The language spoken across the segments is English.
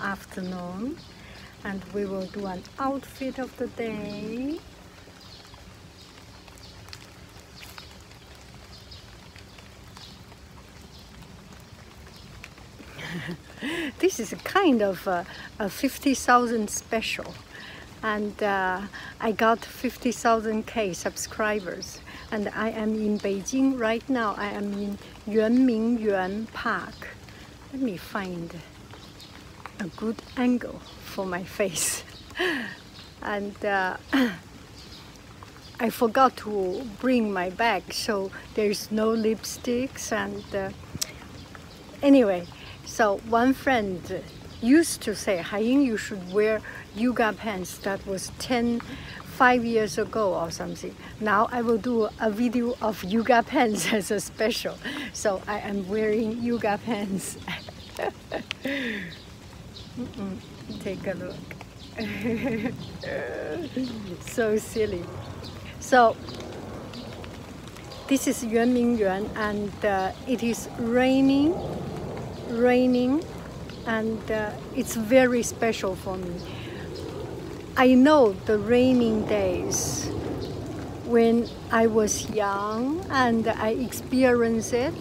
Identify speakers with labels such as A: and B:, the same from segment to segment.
A: afternoon and we will do an outfit of the day this is a kind of a, 50,000 special and uh, I got 50,000k subscribers and I am in Beijing right now I am in Yuanmingyuan Park let me find a good angle for my face. and uh, I forgot to bring my bag, so there's no lipsticks. And uh, anyway, so one friend used to say, Haiying, you should wear yoga pants. That was 10, 5 years ago or something now I will do a video of yoga pants as a special so I am wearing yoga pants take a look so silly so this is Yuan Ming Yuan and uh, it is raining raining and uh, it's very special for me I know the rainy days when I was young and I experienced it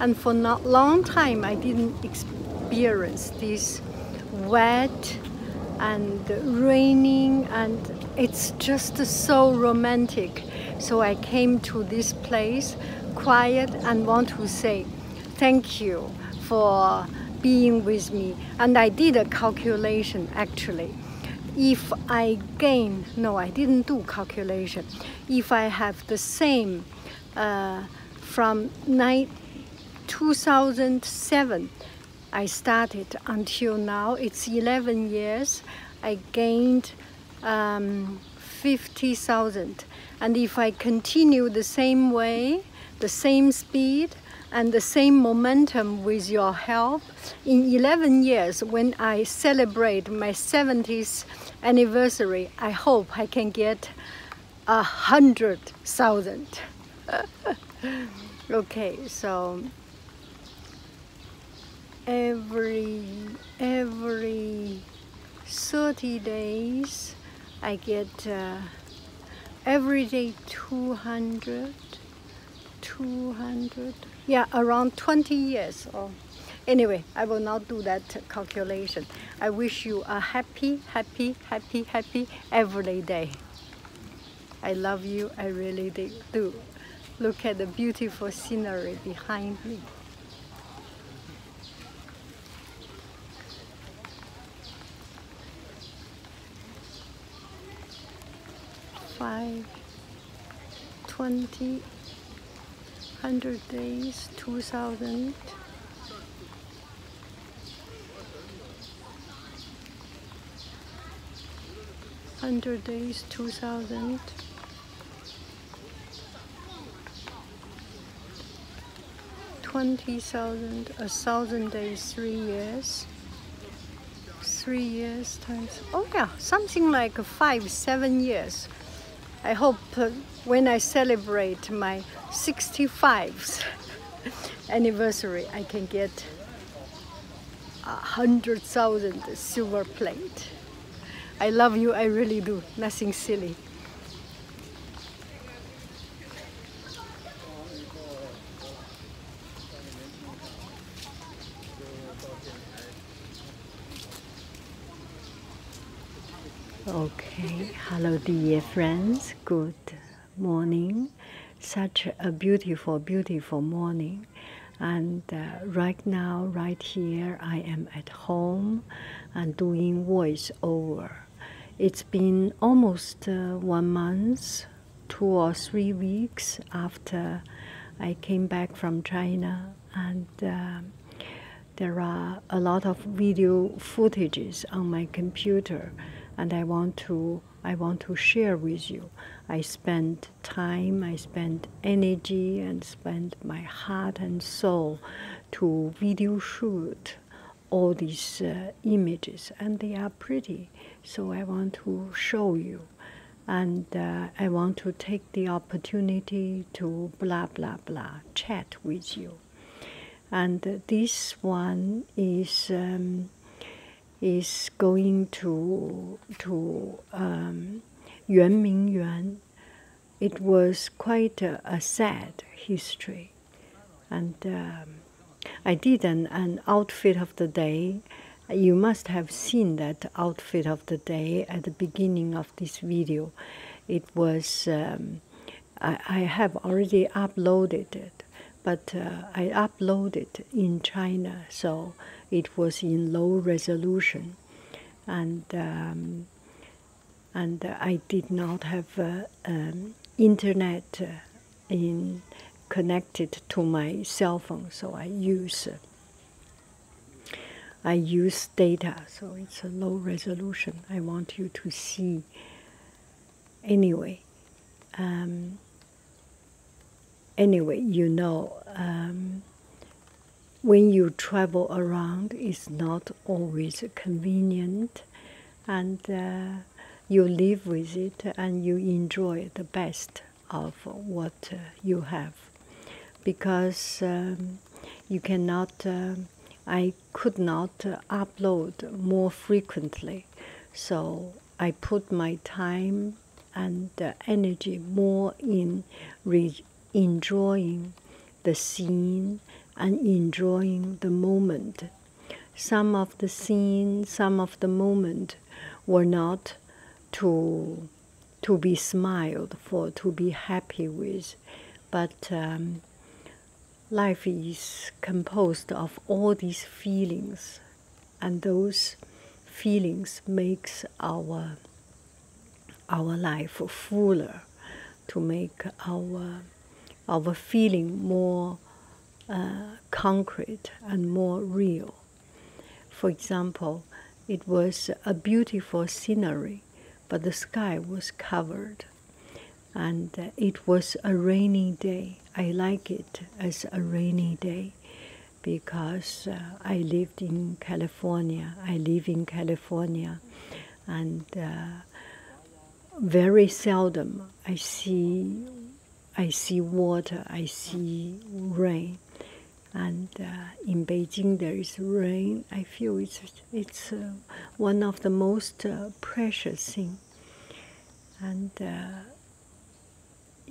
A: and for not long time I didn't experience this wet and raining and it's just so romantic so I came to this place quiet and want to say thank you for being with me. And I did a calculation actually. If I gain, no, I didn't do calculation. If I have the same uh, from 9, 2007, I started until now, it's 11 years, I gained um, 50,000. And if I continue the same way, the same speed, and the same momentum with your help. In 11 years, when I celebrate my 70th anniversary, I hope I can get a hundred thousand. okay, so every every 30 days, I get. Uh, every day 200 200 yeah around 20 years old oh, anyway i will not do that calculation i wish you a happy happy happy happy every day i love you i really do look at the beautiful scenery behind me five, 100 days, 2000, Hundred days, two thousand, 20,000, a thousand days, three years. Three years times, oh yeah, something like five, seven years. I hope uh, when I celebrate my 65th anniversary, I can get a 100,000 silver plate. I love you, I really do, nothing silly. Okay, hello dear friends, good morning. Such a beautiful, beautiful morning. And uh, right now, right here, I am at home and doing voice over it's been almost uh, one month, two or three weeks after I came back from China, and uh, there are a lot of video footages on my computer, and I want to I want to share with you. I spent time, I spent energy, and spent my heart and soul to video shoot all these uh, images, and they are pretty. So I want to show you, and uh, I want to take the opportunity to blah blah blah chat with you. And this one is um, is going to to um, Yuan It was quite a sad history and um, I did an, outfit of the day. You must have seen that outfit of the day at the beginning of this video. It was, um, I, have already uploaded it, but uh, I uploaded in China, so it was in low resolution. And um, and uh, I did not have uh, um, internet uh, in connected to my cell phone, so I use I use data, so it's a low resolution. I want you to see anyway. Um, anyway, you know, um, when you travel around, it's not always convenient and uh, you live with it and you enjoy the best of what uh, you have because um, you cannot uh, i could not upload more frequently so i put my time and energy more in enjoying the scene and enjoying the moment some of the scene, some of the moment were not to to be smiled for, to be happy with, but um, life is composed of all these feelings, and those feelings makes our our life fuller to make our our feeling more uh, concrete and more real. For example, it was a beautiful scenery, but the sky was covered, and it was a rainy day. I like it as a rainy day because uh, I lived in California. I live in California, and uh, very seldom I see I see water, I see rain, and uh, in Beijing there is rain. I feel it's it's uh, one of the most uh, precious thing, and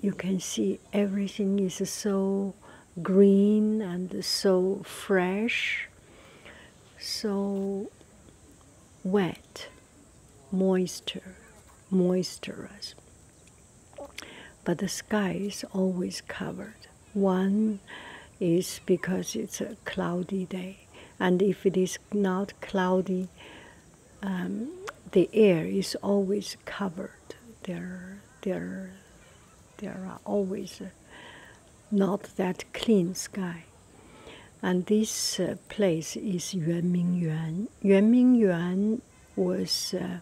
A: you can see everything is so green and so fresh. So wet, moisture, moistureous. But the sky is always covered. One is because it's a cloudy day, and if it is not cloudy, um, the air is always covered. There, there, there are always not that clean sky. And this uh, place is Yuanmingyuan. Yuanmingyuan was uh,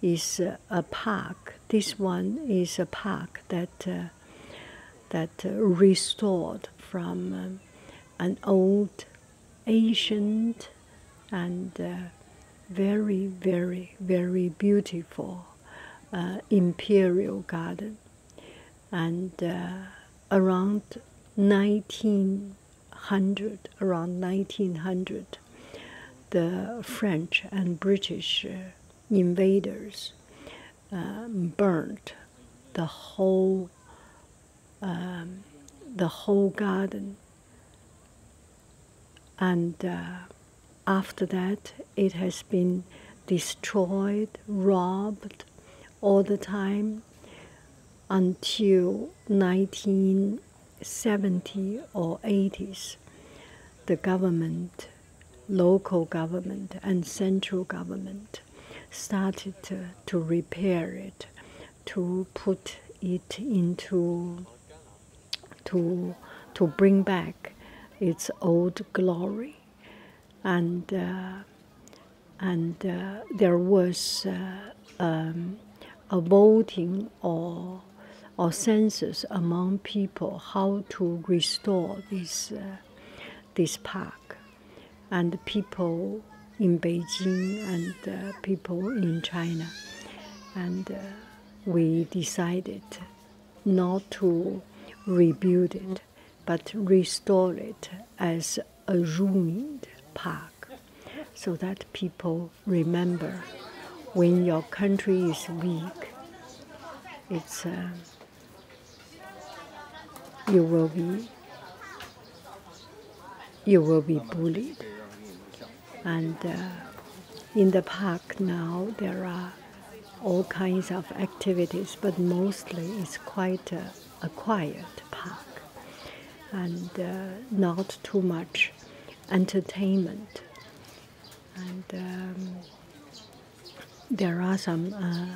A: is uh, a park. This one is a park that that restored from an old, ancient, and very, very, very beautiful imperial garden and uh, around 1900 around 1900 the french and british uh, invaders um, burnt the whole um, the whole garden and uh, after that it has been destroyed, robbed all the time until 1970 or 80s. The government, local government, and central government started to, repair it, to put it into, to, to bring back its old glory and uh, and uh, there was uh, um, a voting or or census among people how to restore this this park, and people in Beijing and uh, people in China, and we decided not to rebuild it but restore it as a ruined park so that people remember when your country is weak, it's, uh, you will be you will be bullied. And uh, in the park now there are all kinds of activities, but mostly it's quite a, quiet park and uh, not too much entertainment. And um, there are some uh,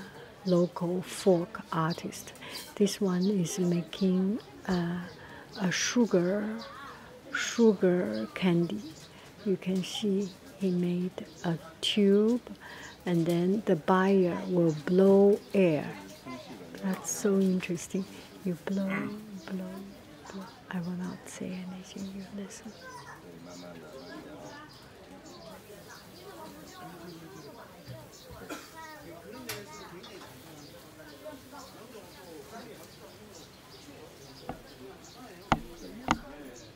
A: local folk artists. This one is making uh, a sugar sugar candy. You can see he made a tube and then the buyer will blow air that's so interesting you blow blow blow i will not say anything you listen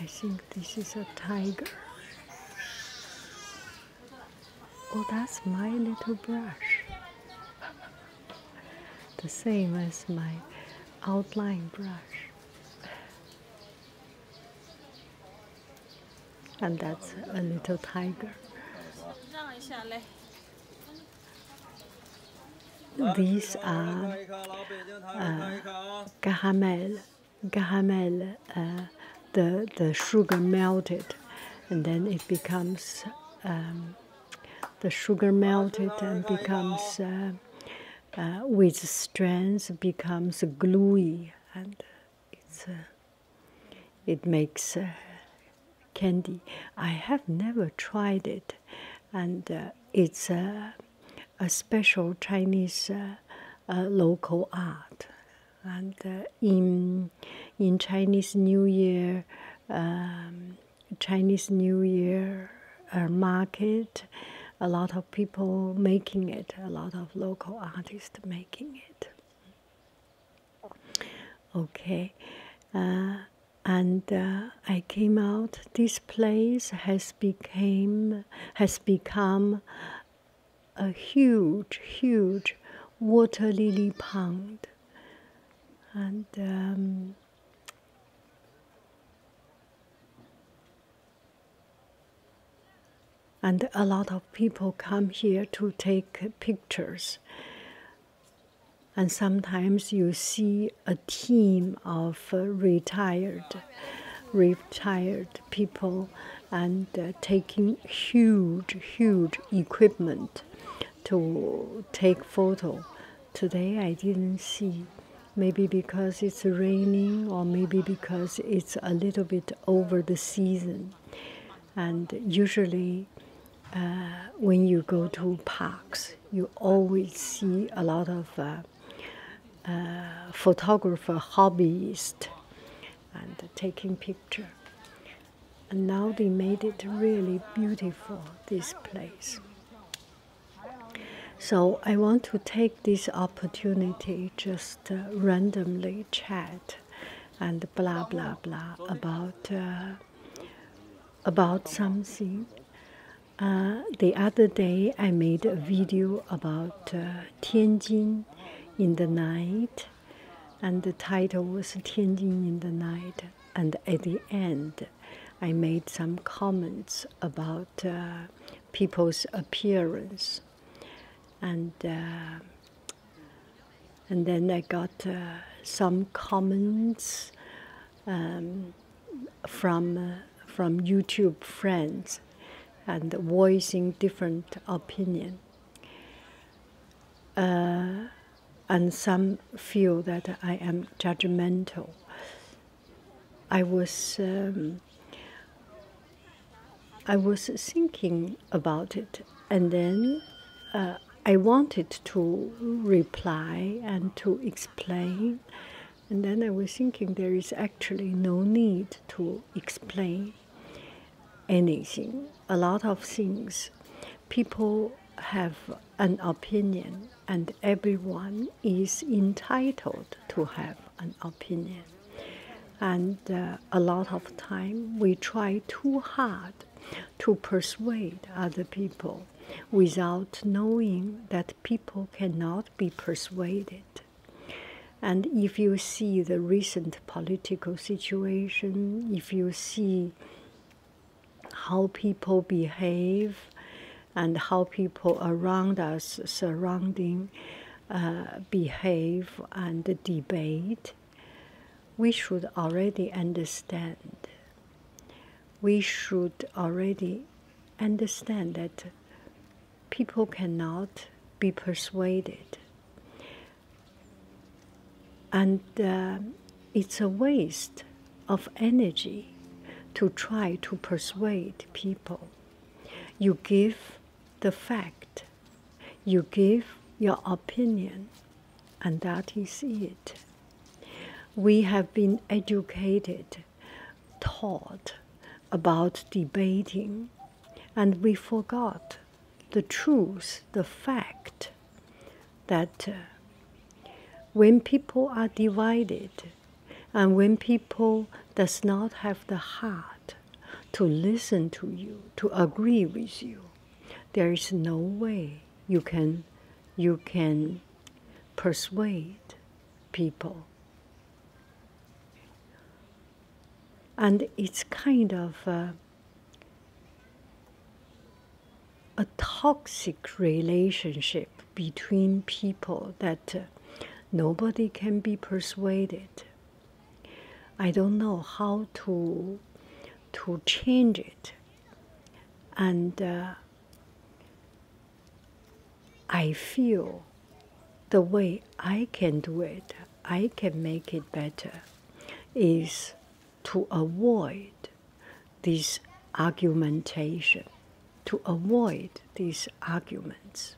A: I think this is a tiger. Oh, that's my little brush. the same as my outline brush. And that's a little tiger. These are uh, caramel, uh, the the sugar melted, and then it becomes um, the sugar melted and becomes uh, uh, with strands becomes gluey and it's it makes candy. I have never tried it, and it's. Uh, a special Chinese uh, uh, local art, and uh, in in Chinese New Year, um, Chinese New Year market, a lot of people making it, a lot of local artists making it. Okay, and I came out. This place has became has become a huge, huge water lily pond, and um, and a lot of people come here to take pictures. And sometimes you see a team of retired, retired people and uh, taking huge, huge equipment to take photo. Today I didn't see. Maybe because it's raining, or maybe because it's a little bit over the season. And usually, uh, when you go to parks, you always see a lot of uh, photographer hobbyist and taking picture. And now they made it really beautiful, this place. So I want to take this opportunity just randomly chat and blah blah blah about uh, about something. Uh, the other day I made a video about uh, Tianjin in the Night, and the title was Tianjin in the Night. And at the end, I made some comments about uh, people's appearance, and uh, and then I got uh, some comments um, from from YouTube friends and voicing different opinion. Uh, and some feel that I am judgmental. I was um, I was thinking about it, and then uh, I wanted to reply and to explain, and then I was thinking there is actually no need to explain anything. A lot of things people have an opinion, and everyone is entitled to have an opinion. And uh, a lot of time we try too hard to persuade other people without knowing that people cannot be persuaded. And if you see the recent political situation, if you see how people behave and how people around us surrounding uh, behave and debate, we should already understand. We should already understand that people cannot be persuaded. And uh, it's a waste of energy to try to persuade people. You give the fact, you give your opinion, and that is it. We have been educated taught about debating, and we forgot the truth, the fact that uh, when people are divided and when people does not have the heart to listen to you, to agree with you, there is no way you can you can persuade people and it's kind of uh, a, toxic relationship between people that uh, nobody can be persuaded. I don't know how to to change it, and uh, I feel the way I can do it, I can make it better, is to avoid this argumentation, to avoid these arguments.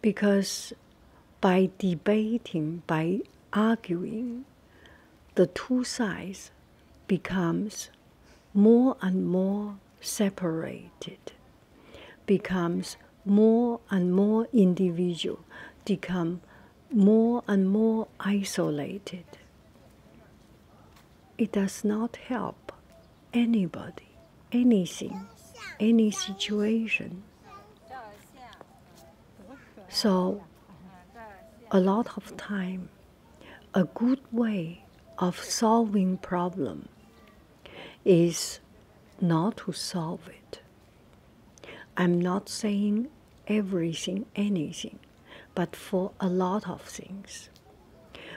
A: Because by debating, by arguing, the two sides becomes more and more separated, becomes more and more individual, become more and more isolated. It does not help anybody, anything, any situation. So, a lot of time a good way of solving problem is not to solve it. I'm not saying everything, anything, but for a lot of things.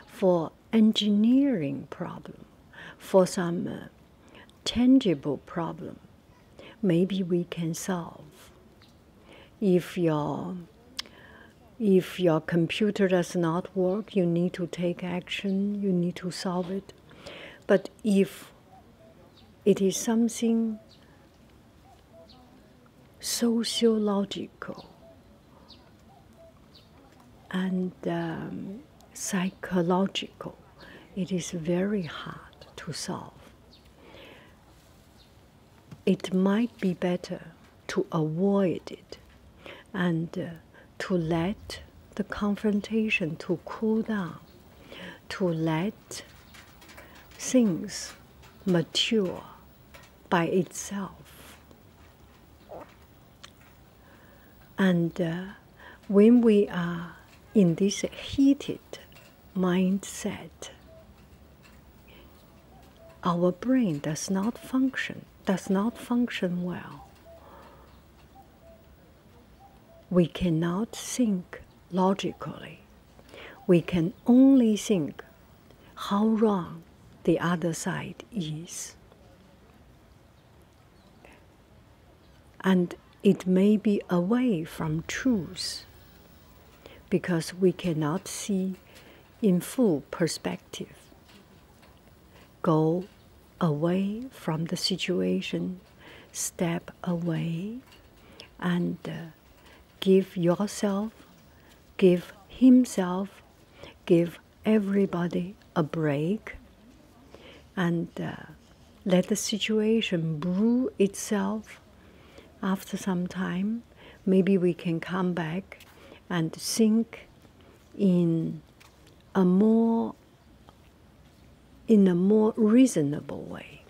A: For engineering problem, for some uh, tangible problem, maybe we can solve. If your if your computer does not work, you need to take action, you need to solve it. But if it is something sociological and um, psychological, it is very hard to solve it might be better to avoid it and uh, to let the confrontation to cool down to let things mature by itself and uh, when we are in this heated mindset our brain does not function, does not function well. We cannot think logically. We can only think how wrong the other side is. And it may be away from truth because we cannot see in full perspective. Go away from the situation, step away, and uh, give yourself, give himself, give everybody a break, and uh, let the situation brew itself after some time maybe we can come back and think in a more in a more reasonable way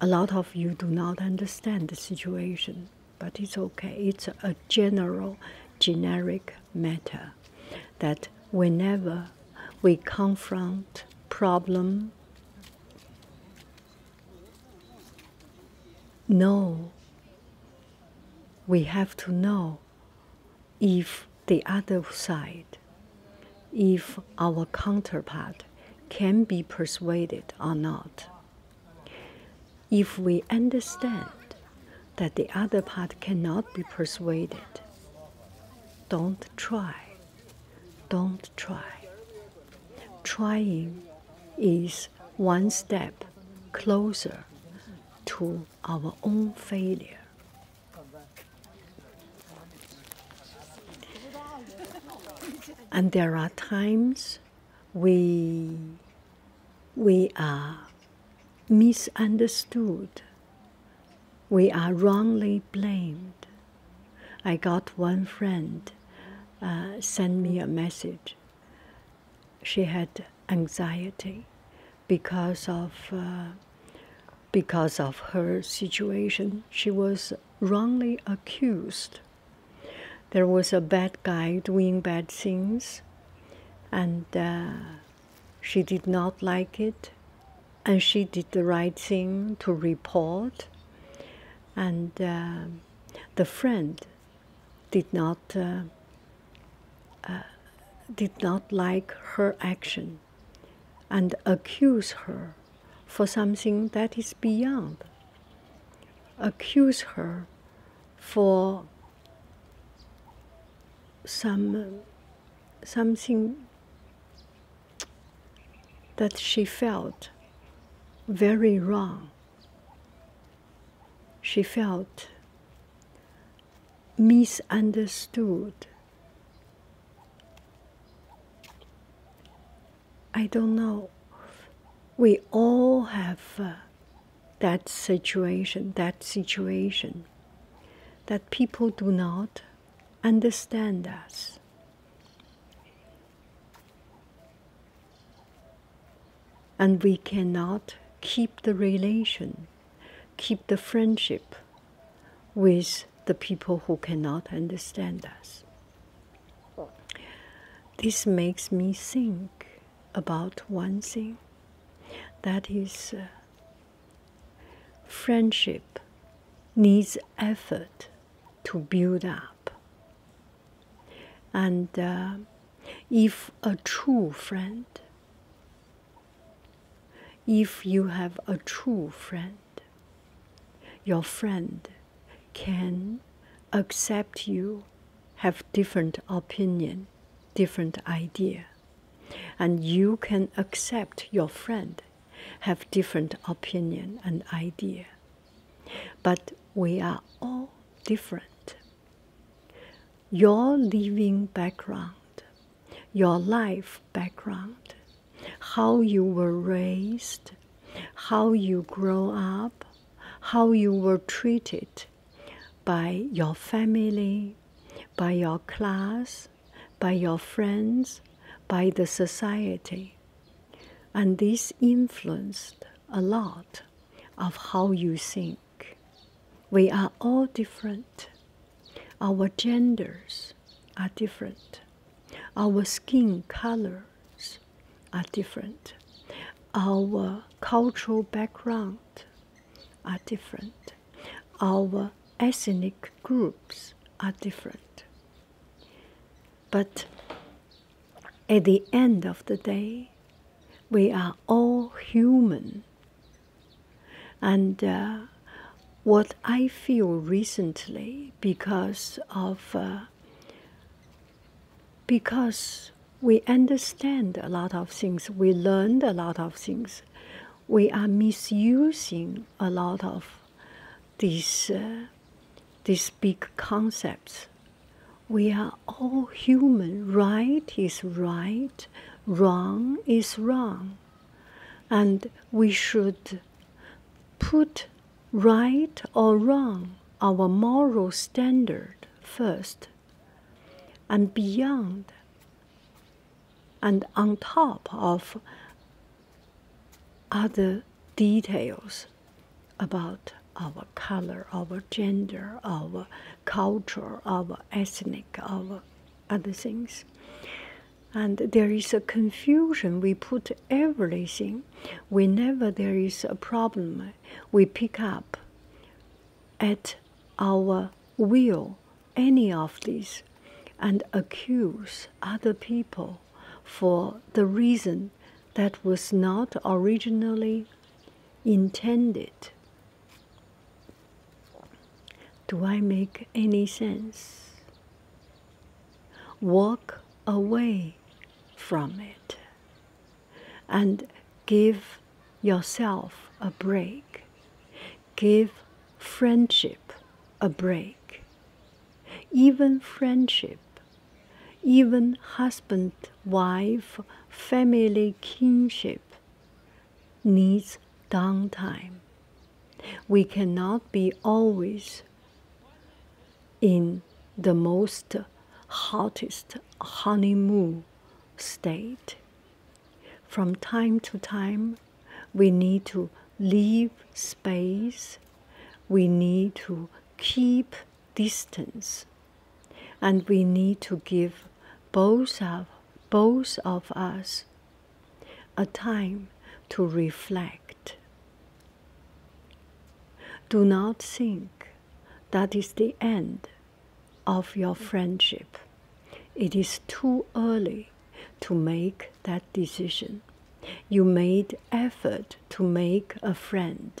A: a lot of you do not understand the situation but it's okay it's a general generic matter that whenever we confront problem no. We have to know if the other side, if our counterpart can be persuaded or not. If we understand that the other part cannot be persuaded, don't try. Don't try. Trying is one step closer to our own failure. And there are times we, we are misunderstood, we are wrongly blamed I got one friend uh, send me a message. She had anxiety because of uh, because of her situation. She was wrongly accused. There was a bad guy doing bad things, and uh, she did not like it, and she did the right thing to report and uh, the friend did not uh, uh, did not like her action and accuse her for something that is beyond accuse her for some something that she felt very wrong. She felt misunderstood. I don't know. We all have uh, that situation, that situation, that people do not understand us. And we cannot keep the relation, keep the friendship with the people who cannot understand us. This makes me think about one thing that is, uh, friendship needs effort to build up. And uh, if a true friend, if you have a true friend, your friend can accept you, have different opinion, different idea, and you can accept your friend have different opinion and idea but we are all different your living background your life background how you were raised how you grow up how you were treated by your family by your class by your friends by the society and this influenced a lot of how you think. We are all different. Our genders are different. Our skin colors are different. Our cultural background are different. Our ethnic groups are different. But at the end of the day, we are all human. And uh, what I feel recently because of uh, because we understand a lot of things, we learned a lot of things, we are misusing a lot of these uh, these big concepts. We are all human. Right is right, wrong is wrong, and we should put right or wrong our moral standard first, and beyond, and on top of other details about our color, our gender, our culture, our ethnic, our other things. And there is a confusion. We put everything. Whenever there is a problem, we pick up at our will any of these and accuse other people for the reason that was not originally intended. Do I make any sense? Walk away from it and give yourself a break. Give friendship a break even friendship, even husband, wife, family, kinship needs downtime. We cannot be always in the most hottest honeymoon state. From time to time, we need to leave space, we need to keep distance, and we need to give both of, both of us a time to reflect. Do not think that is the end of your friendship. It is too early to make that decision. You made effort to make a friend.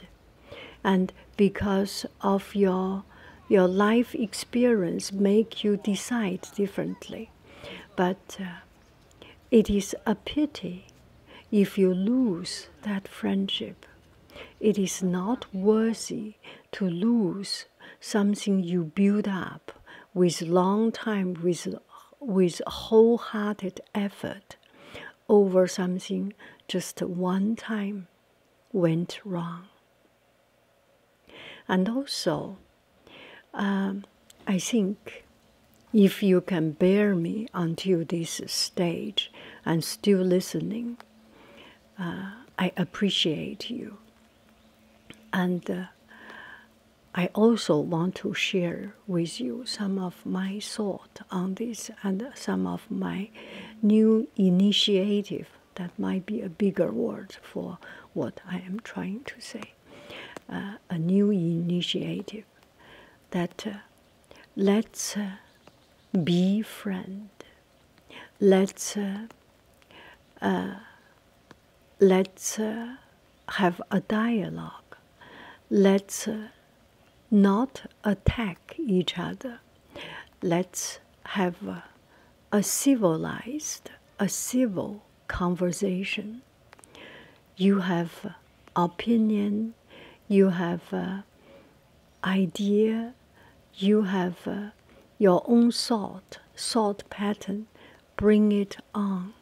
A: And because of your your life experience make you decide differently. But uh, it is a pity if you lose that friendship. It is not worthy to lose something you build up with long time with with wholehearted effort over something just one time went wrong. And also, um, I think if you can bear me until this stage and still listening, uh, I appreciate you. And uh, I also want to share with you some of my thought on this and some of my new initiative that might be a bigger word for what I am trying to say. Uh, a new initiative that uh, let's uh, be friend, let's uh, let's uh, have a dialogue. Let's uh, not attack each other. Let's have a civilized, a civil conversation. You have opinion, you have uh, idea, you have your own thought, thought pattern. Bring it on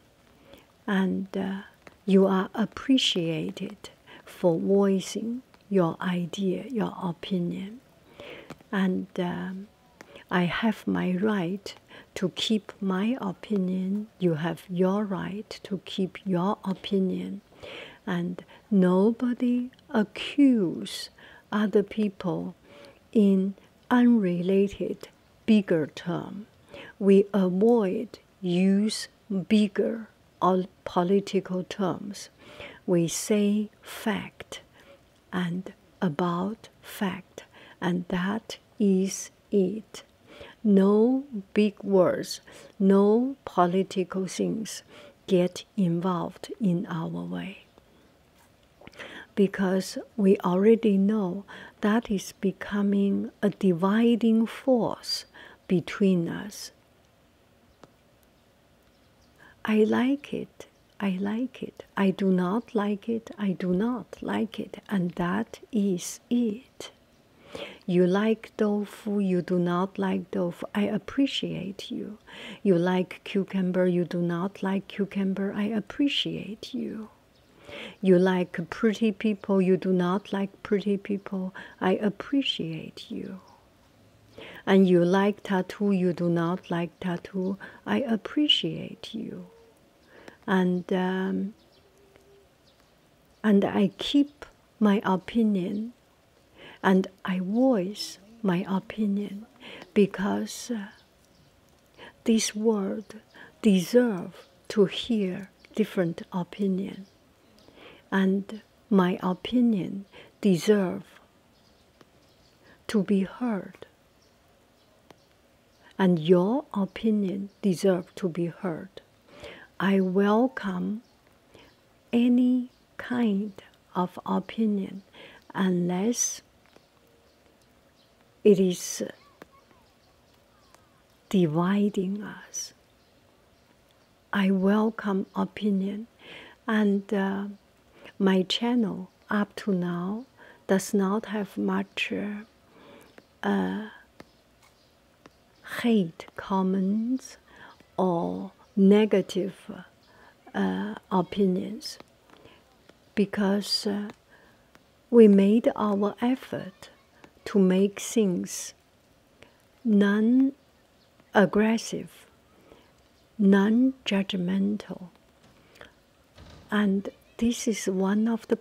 A: and uh, you are appreciated for voicing your idea, your opinion. And um, I have my right to keep my opinion. You have your right to keep your opinion. And nobody accuse other people in unrelated bigger term. We avoid use bigger political terms. We say fact and about fact, and that is it. No big words, no political things get involved in our way because we already know that is becoming a dividing force between us. I like it. I like it. I do not like it. I do not like it. And that is it. You like tofu, you do not like tofu. I appreciate you. You like cucumber, you do not like cucumber. I appreciate you. You like pretty people, you do not like pretty people. I appreciate you. And you like tattoo, you do not like tattoo. I appreciate you. And um, and I keep my opinion and I voice my opinion because uh, this world deserve to hear different opinion and my opinion deserve to be heard and your opinion deserve to be heard i welcome any kind of opinion unless it is dividing us. I welcome opinion, and uh, my channel up to now does not have much uh, uh, hate comments or negative opinions because we made our effort to make things non aggressive, non judgmental. And this is one of the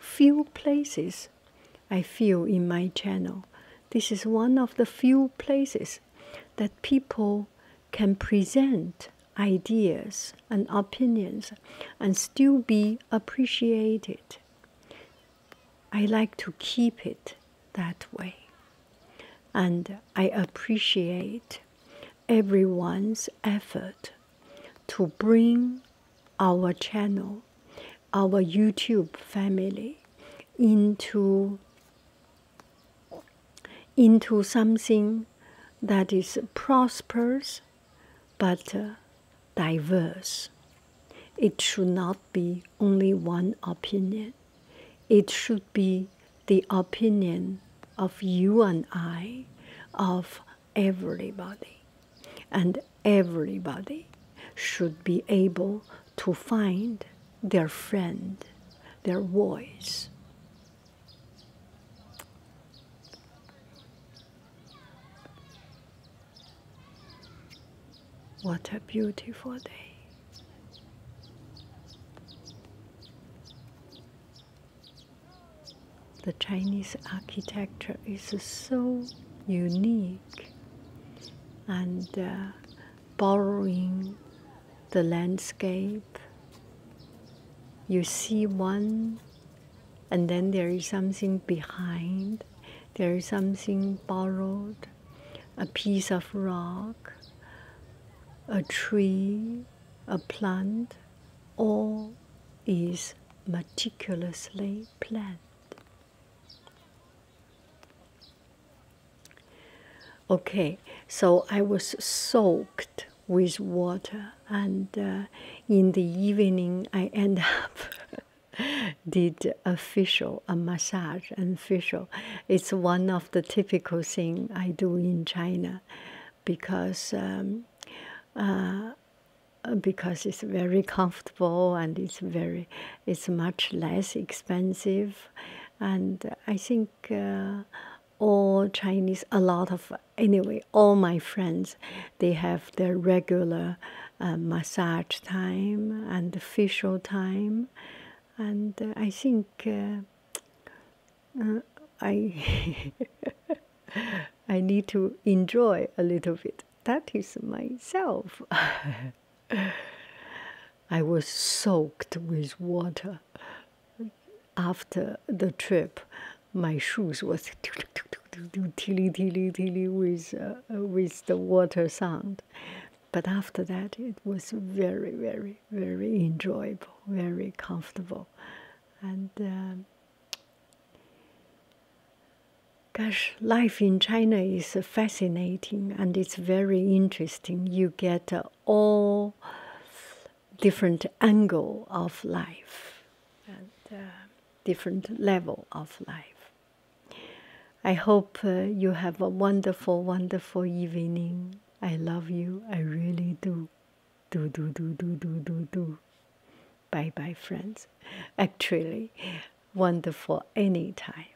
A: few places I feel in my channel. This is one of the few places that people can present ideas and opinions and still be appreciated. I like to keep it that way. And I appreciate everyone's effort to bring our channel, our YouTube family into into something that is prosperous but uh, diverse. It should not be only one opinion. It should be the opinion of you and I, of everybody. And everybody should be able to find their friend, their voice. What a beautiful day. The Chinese architecture is so unique and uh, borrowing the landscape you see one, and then there is something behind, there is something borrowed, a piece of rock, a tree, a plant, all is meticulously planned. Okay, so I was soaked with water and uh, in the evening i end up did official a massage and facial it's one of the typical thing i do in china because um, uh, because it's very comfortable and it's very it's much less expensive and i think uh, all Chinese, a lot of anyway, all my friends, they have their regular uh, massage time and facial time, and uh, I think uh, uh, I I need to enjoy a little bit. That is myself. I was soaked with water after the trip, my shoes was tilly tilly tilly with with the water sound, but after that it was very very very enjoyable, very comfortable, and. Gosh, life in China is fascinating and it's very interesting. You get all different angle of life and uh, different level of life. I hope uh, you have a wonderful, wonderful evening. I love you. I really do. Do, do, do, do, do, do, do. Bye bye, friends. Actually, wonderful any time.